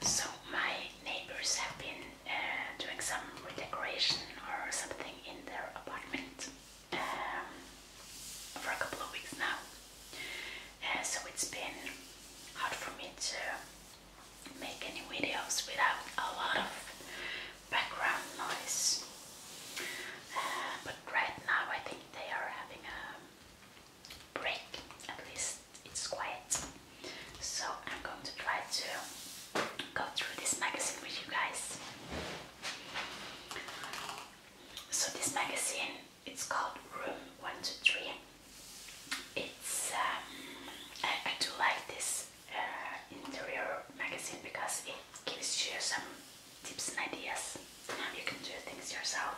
So my neighbors have been uh, doing some redecoration or something in their apartment um, for a couple of weeks now. Uh, so it's been hard for me to make any videos without a lot of background noise. Uh, but right now I think they are having a break, at least it's quiet. So I'm going to try to go through this magazine with you guys. So this magazine, it's called Room 123. It's, um, I, do like this uh, interior magazine because it gives you some tips and ideas on how you can do things yourself.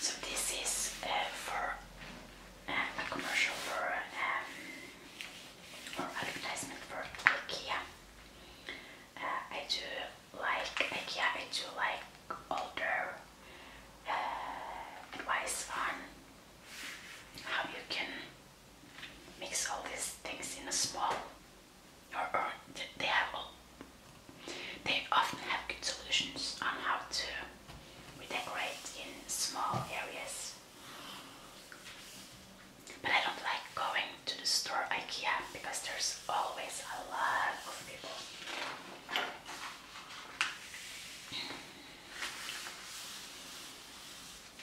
So this is uh, for uh, a commercial for um, or advertisement for IKEA. Uh, I do like IKEA. I do like all uh, advice on how you can mix all these things in a small they have they often have good solutions on how to decorate in small areas. But I don't like going to the store IKEA because there's always a lot of people.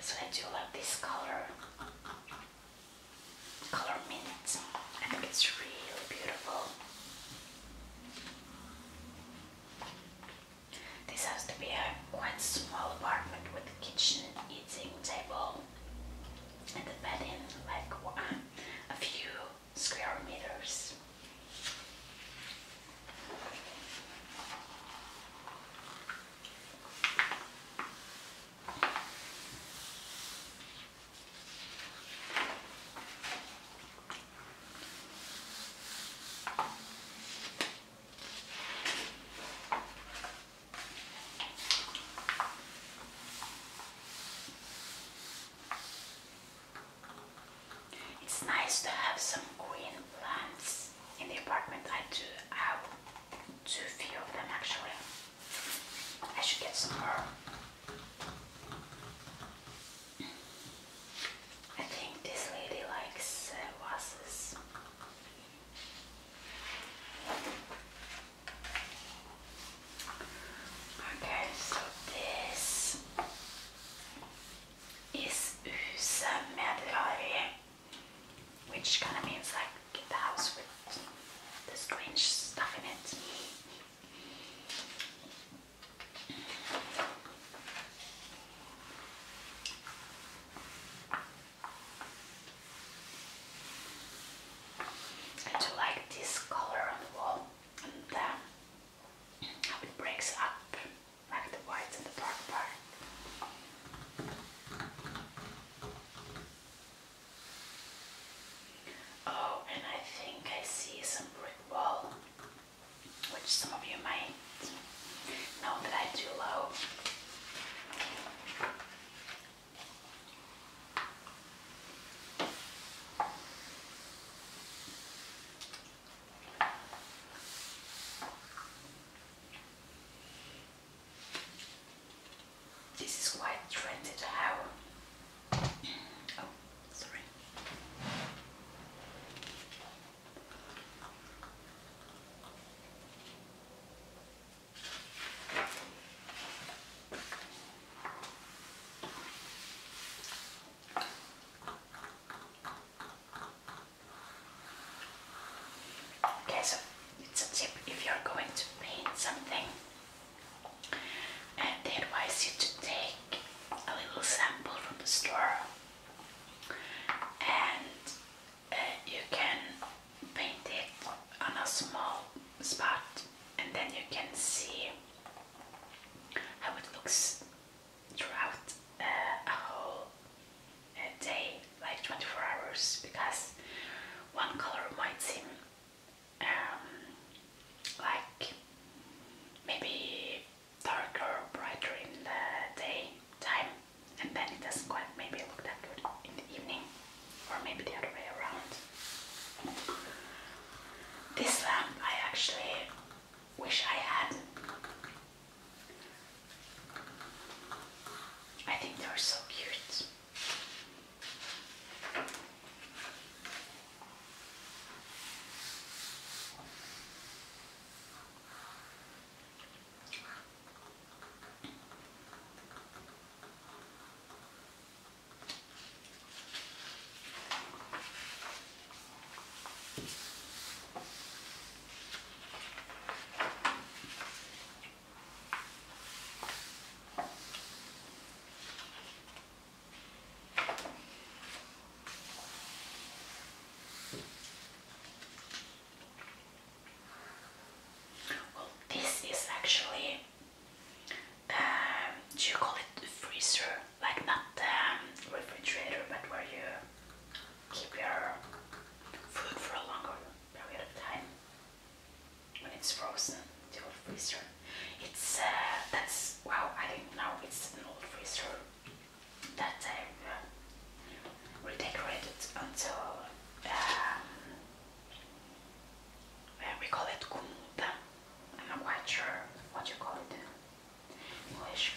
So I do love this color, color mint. I think it's really beautiful. This has to be a quite small apartment with a kitchen eating table and the bedding, like a few square meters. It's nice to have some green plants in the apartment. I do have too few of them actually. I should get some more. I think this lady likes uh, Okay, so this is Huset which kind of means like get the house with the strange stuff in it. I do like this color on the wall and um, how it breaks up like the white and the dark part. Oh, and I think I see some brick wall, which some of you might know that I do love. This is quite trended how oh sorry Okay, so it's a tip if you're going to paint something, and uh, they advise you to take a little sample from the store, and uh, you can paint it on a small spot, and then you can see how it looks throughout uh, a whole uh, day, like 24 hours, because one color might seem um, like maybe darker, brighter in the day time, and then it doesn't quite maybe look that good in the evening or maybe the other way around. This lamp I actually wish I had. I think they're so cute. Well, this is actually um, do you call it freezer? Like not um, refrigerator, but where you keep your food for a longer period of time when it's frozen. The old freezer. It's uh, that's wow. I didn't know it's an old freezer that uh, redecorated until um, we call it kunta. I'm not quite sure what you call it in English,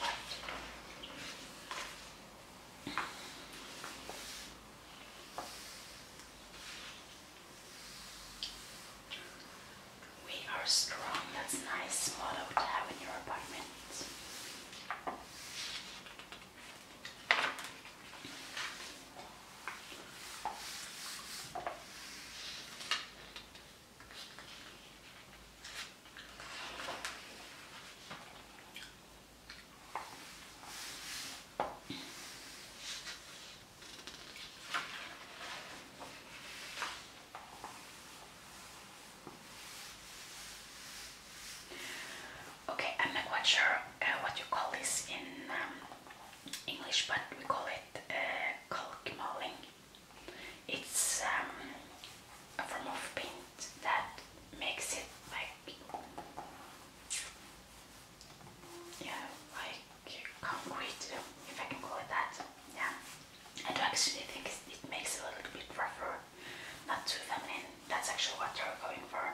we are strong. That's a nice motto to have in your apartment. Okay, I'm not quite sure uh, what you call this in um, English, but we call it uh, It's um, a form of paint that makes it like, yeah, like concrete, if I can call it that. Yeah, I do actually think it makes it a little bit rougher, not too feminine. That's actually what they're going for.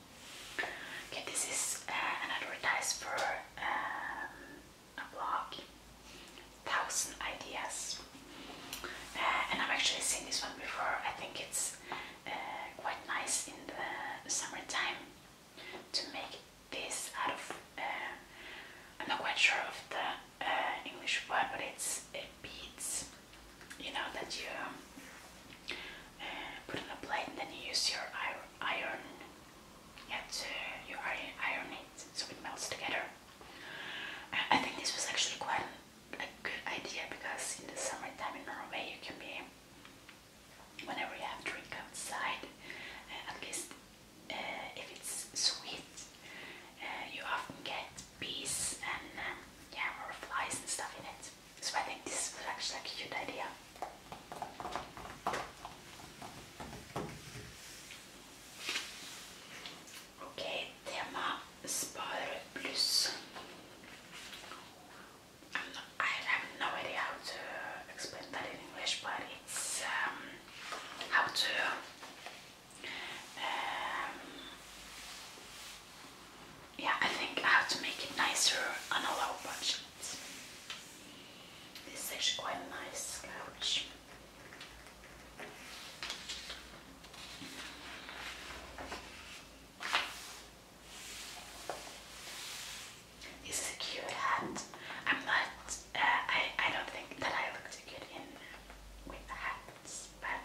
Okay, this is uh, an advertise for um, a blog, Thousand Ideas, uh, and I've actually seen this one before. I think it's uh, quite nice in the summertime to make this out of. I'm not quite sure of the English word, but it's uh, beads. You know that you. put on a plate and then you use your iron yet uh, you iron it so it melts together. I think this was actually quite a good idea because in the summertime in Norway you can be, whenever you have drink outside, uh, at least uh, if it's sweet, uh, you often get bees and um, yeah, or flies and stuff in it. So I think this is actually a cute idea. okay, tema Spar Plus. i have no idea how to explain that in English, but it's um, how to um, yeah, I think I have to make it nicer on a low budget. This is actually quite a nice couch. This is a cute hat. I'm not. Uh, I I don't think that I look too good in with hats, but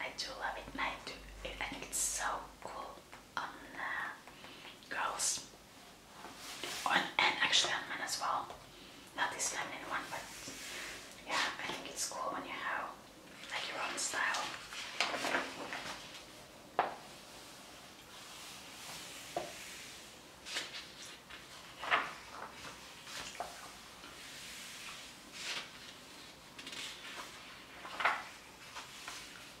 I do love it. I do. I think it's so cool on uh, girls, and actually on men as well. Not this feminine one, but yeah, I think it's cool when you have like your own style.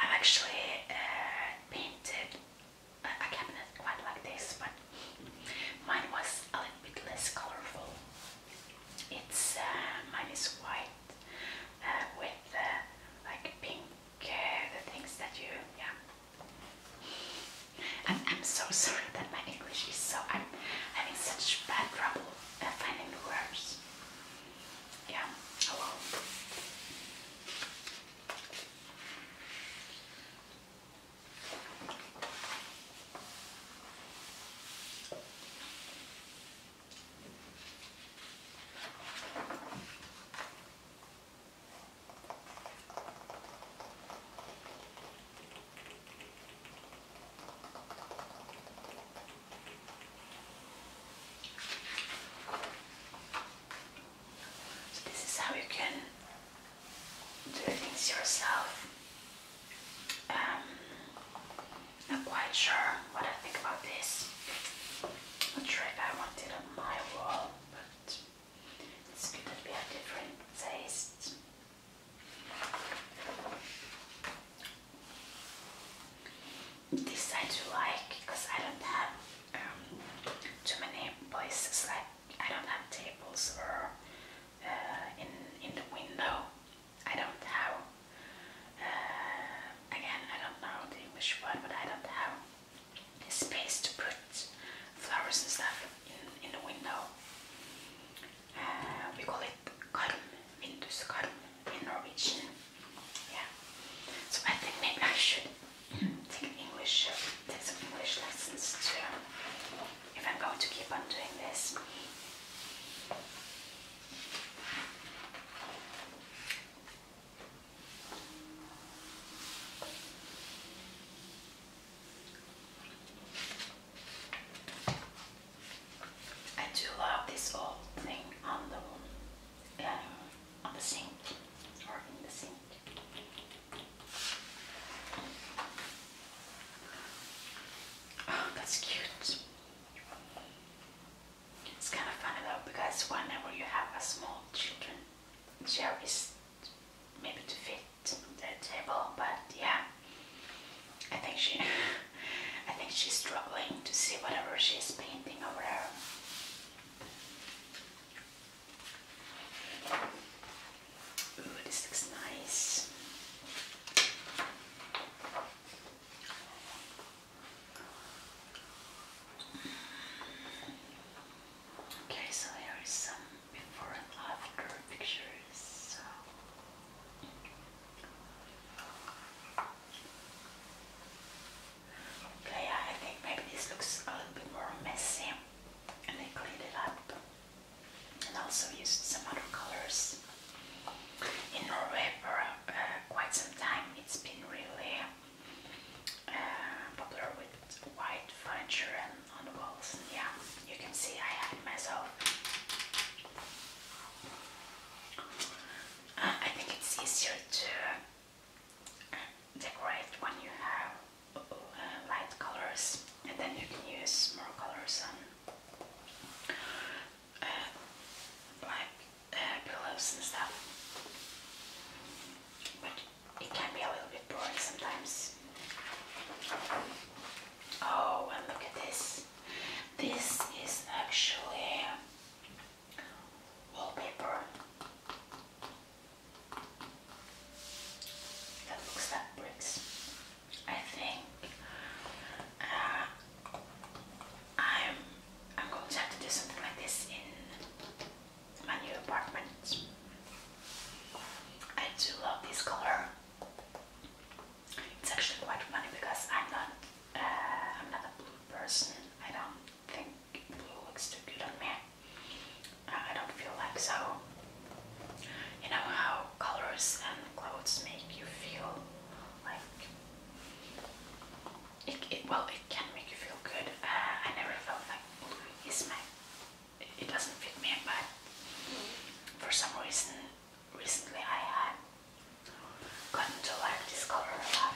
I've actually uh, painted a, cabinet quite like this, but mine was a little bit less colorful. It's uh, mine is white uh, with like pink, uh, the things that you yeah. And I'm so sorry that my English is so. I'm having such bad trouble finding the words. Yeah, hello. Oh so this is how you can do things yourself. Um, not quite sure what I think about this. Not sure if I want it on my wall, but it's going to be a different taste. This I like because I don't have um, too many places. Like I don't have tables or uh, in in the window. I don't have. Uh, again, I don't know the English word, but I don't have space to put flowers and stuff in, the window. Uh, we call it karm, Windows karm in Norwegian. Yeah. So I think maybe I should take English, take some English lessons too, if I'm going to keep on doing this. I do love this old thing on the um, on the sink or in the sink. Oh, that's cute. It's kind of funny though because whenever you have a small children, there is maybe to fit the table, but yeah, I think she, I think she's struggling to see whatever she's painting over there. Ooh, this looks nice. Okay, so here is some before and after pictures. So. Okay, I think maybe this looks a little bit more messy, and I cleaned it up, and also used some other colors. In Norway for uh, quite some time, it's been really uh, popular with white furniture and on the walls. Yeah, you can see I have myself. Uh, I think it's easier to uh, decorate when you have light colors and then you can use more colors on like pillows and stuff it can be a little bit boring sometimes. Oh, and look at this. This is actually wallpaper. That looks like bricks. I think uh, I'm I'm going to have to do something like this in my new apartment. I do love this color. It's actually quite funny because I'm not uh, I'm not a blue person. I don't think blue looks too good on me. I don't feel like so. You know how colors and clothes make you feel like it, well it can make you feel good. Uh, I never felt like blue my it doesn't fit me, but for some reason recently I have gotten to like this color a lot.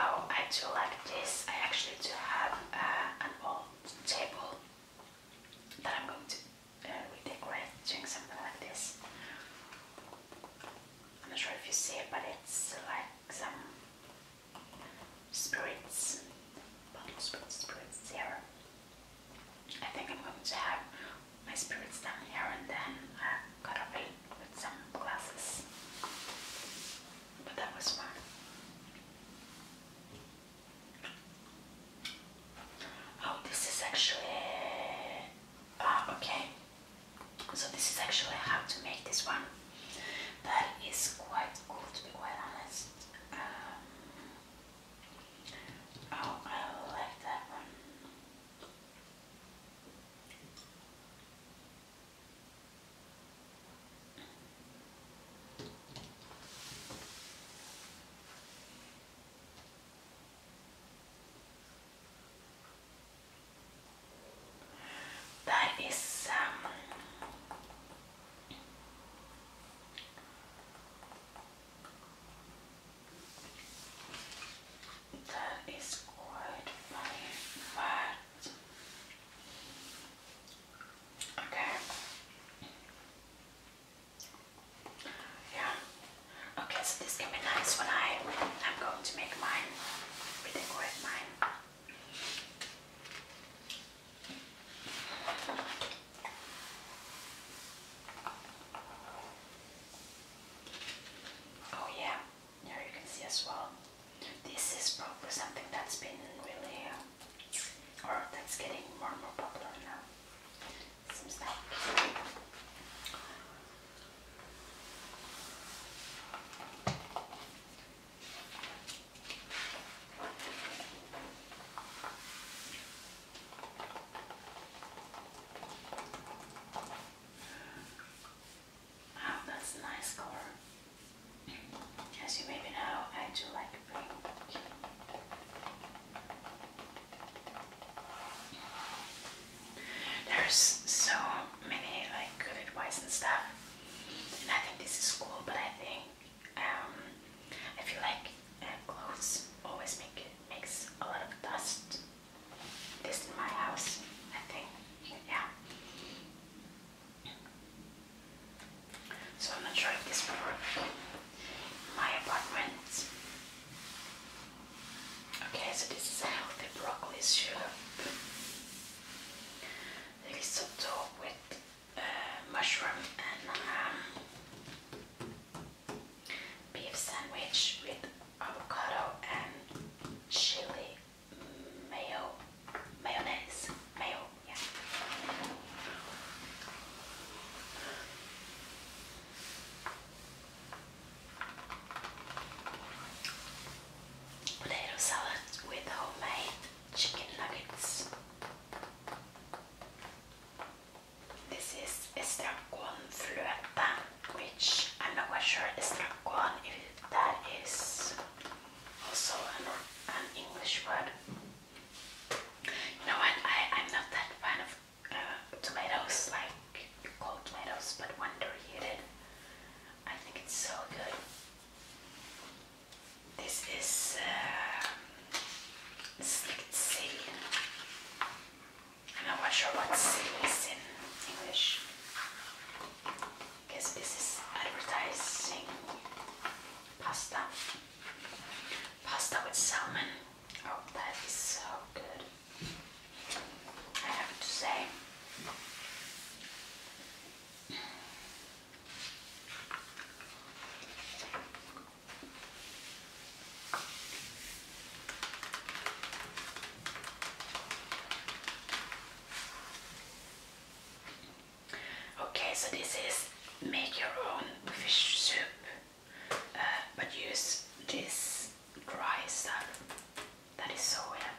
Oh, I do like this. I actually do have uh, an old table that I'm going to uh, doing something like this. I'm not sure if you see it, but it's like some spirits, bottle spirits, spirits here. I think I'm going to have my spirits down here and then i uh, cut off it with some glasses. But that was fun. Oh, this is actually. Ah, okay. So, this is actually how to make this one. That is quite cool to be quite honest. Um, Oh, I like that one. That is salmon. Um, that is quite funny fact. Okay. Yeah. Okay, so this can be nice when I am going to make mine, redecorate mine. Oh yeah, here you can see as well. This is probably something that's been really, uh, or that's getting more and more popular now. Seems like. Oh, that's a nice color. As you maybe know, I do like pink. There's so many like good advice and stuff, and I think this is cool. But I think um, I feel like uh, clothes always make makes a lot of dust. This in my house, I think. Yeah. So I'm not sure if this will My apartment. Okay, so this is a healthy broccoli soup. Risotto with uh, mushroom and ham. Um, beef sandwich with avocado and chili mayo mayonnaise mayo yeah potato salad with homemade chicken nuggets this is estragon flueta, which I'm not quite sure estragon if that is also an, an English word. You know what? I, I'm not that fan of uh, tomatoes, like cold tomatoes, but when they're heated, I think it's so good. This is uh, slicked seal. I'm not sure what seal is in English. Guess this is advertising pasta. Pasta with salmon. Oh, that is so good. I have to say. Okay, so this is make your own fish soup, uh, but use this dry stuff that is so weird.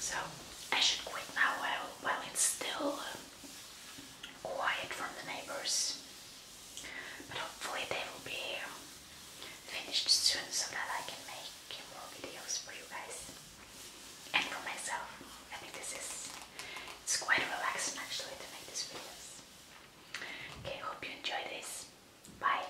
So I should quit now while, while it's still um, quiet from the neighbors. But hopefully they will be finished soon so that I can make more videos for you guys and for myself. I think this is it's quite relaxing actually to make these videos. Okay, hope you enjoy this. Bye.